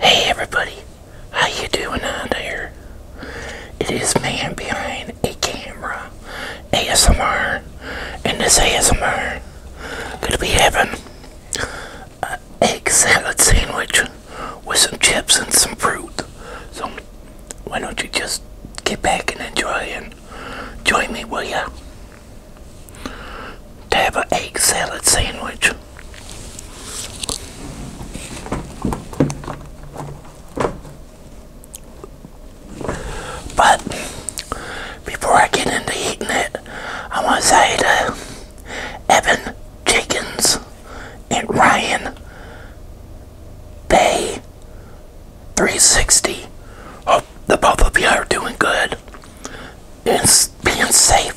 Hey everybody, how you doing out there? It is man behind a camera, ASMR, and this ASMR gonna be having an egg salad sandwich with some chips and some fruit. So why don't you just get back and enjoy and join me, will you? to have an egg salad sandwich. But before I get into eating it, I want to say to Evan Jenkins and Ryan Bay 360. Hope that both of you are doing good being, being safe.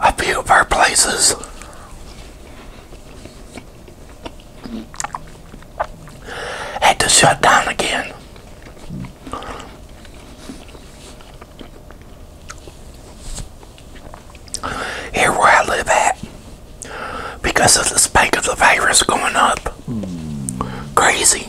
a few of our places had to shut down again. Here where I live at, because of the spike of the virus going up, crazy.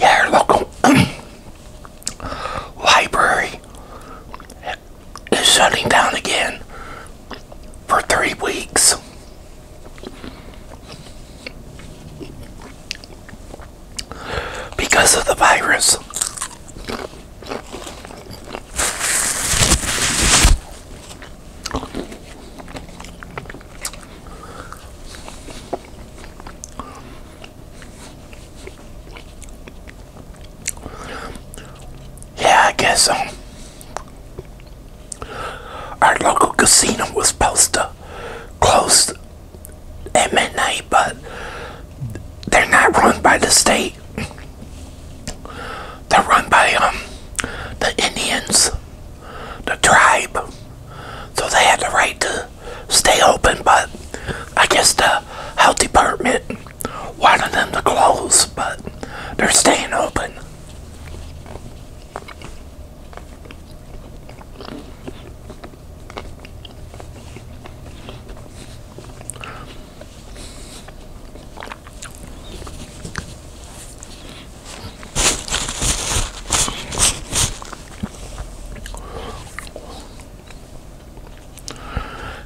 Yeah, our local library is shutting down again for three weeks because of the virus. Yeah, I guess um, our local casino was supposed to close at midnight, but they're not run by the state. They're run by um the Indians, the tribe. So they had the right to stay open, but I guess the health department wanted them to close, but they're staying open.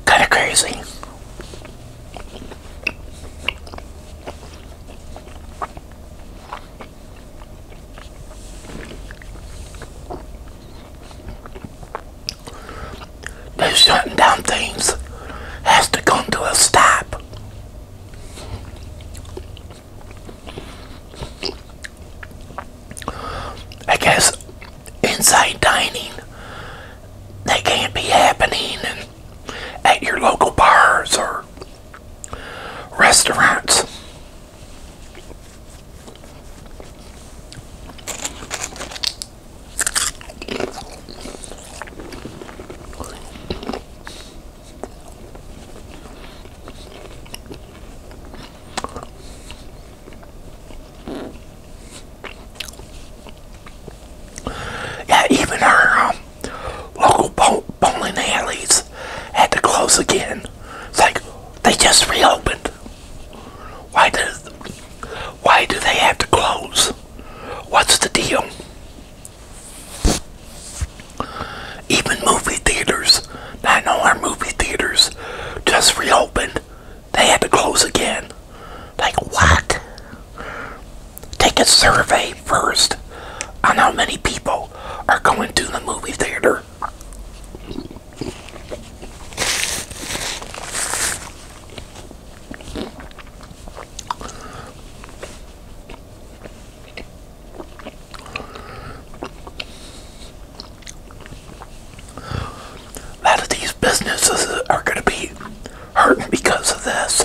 Kind of crazy. They're shutting down things has to come to a stop. I guess inside dining they can't be happening at your local bars or restaurants. Yeah, even our um, local po bowling alleys had to close again. It's like they just reopened. Why does why do they have to close? What's the deal? Even movie theaters, I know our movie theaters just reopened. They had to close again. Like what? Take a survey first on how many people are going to the movie theater. A lot of these businesses are going to be hurting because of this.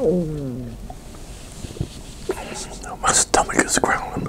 Oh, my stomach is growling.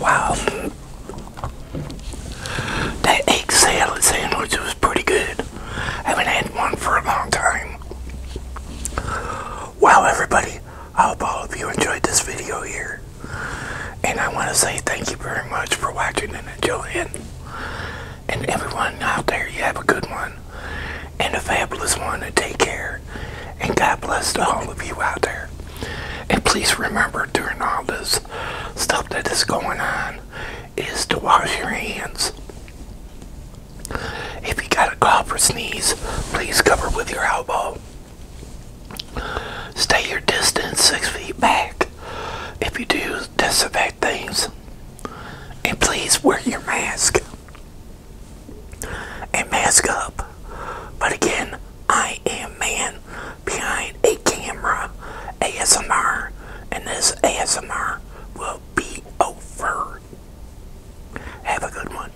Wow, that egg salad sandwich was pretty good. I haven't had one for a long time. Wow, everybody, I hope all of you enjoyed this video here. And I want to say thank you very much for watching and enjoying. And everyone out there, you have a good one and a fabulous one. And take care. And God bless to all of you out there. And please remember during all this stuff that is going on is to wash your hands. If you got a cough or sneeze, please cover with your elbow. Stay your distance six feet back if you do disinfect things. And please wear your mask. And mask up. But again, I am man behind a camera ASMR. And this ASMR will be over. Have a good one.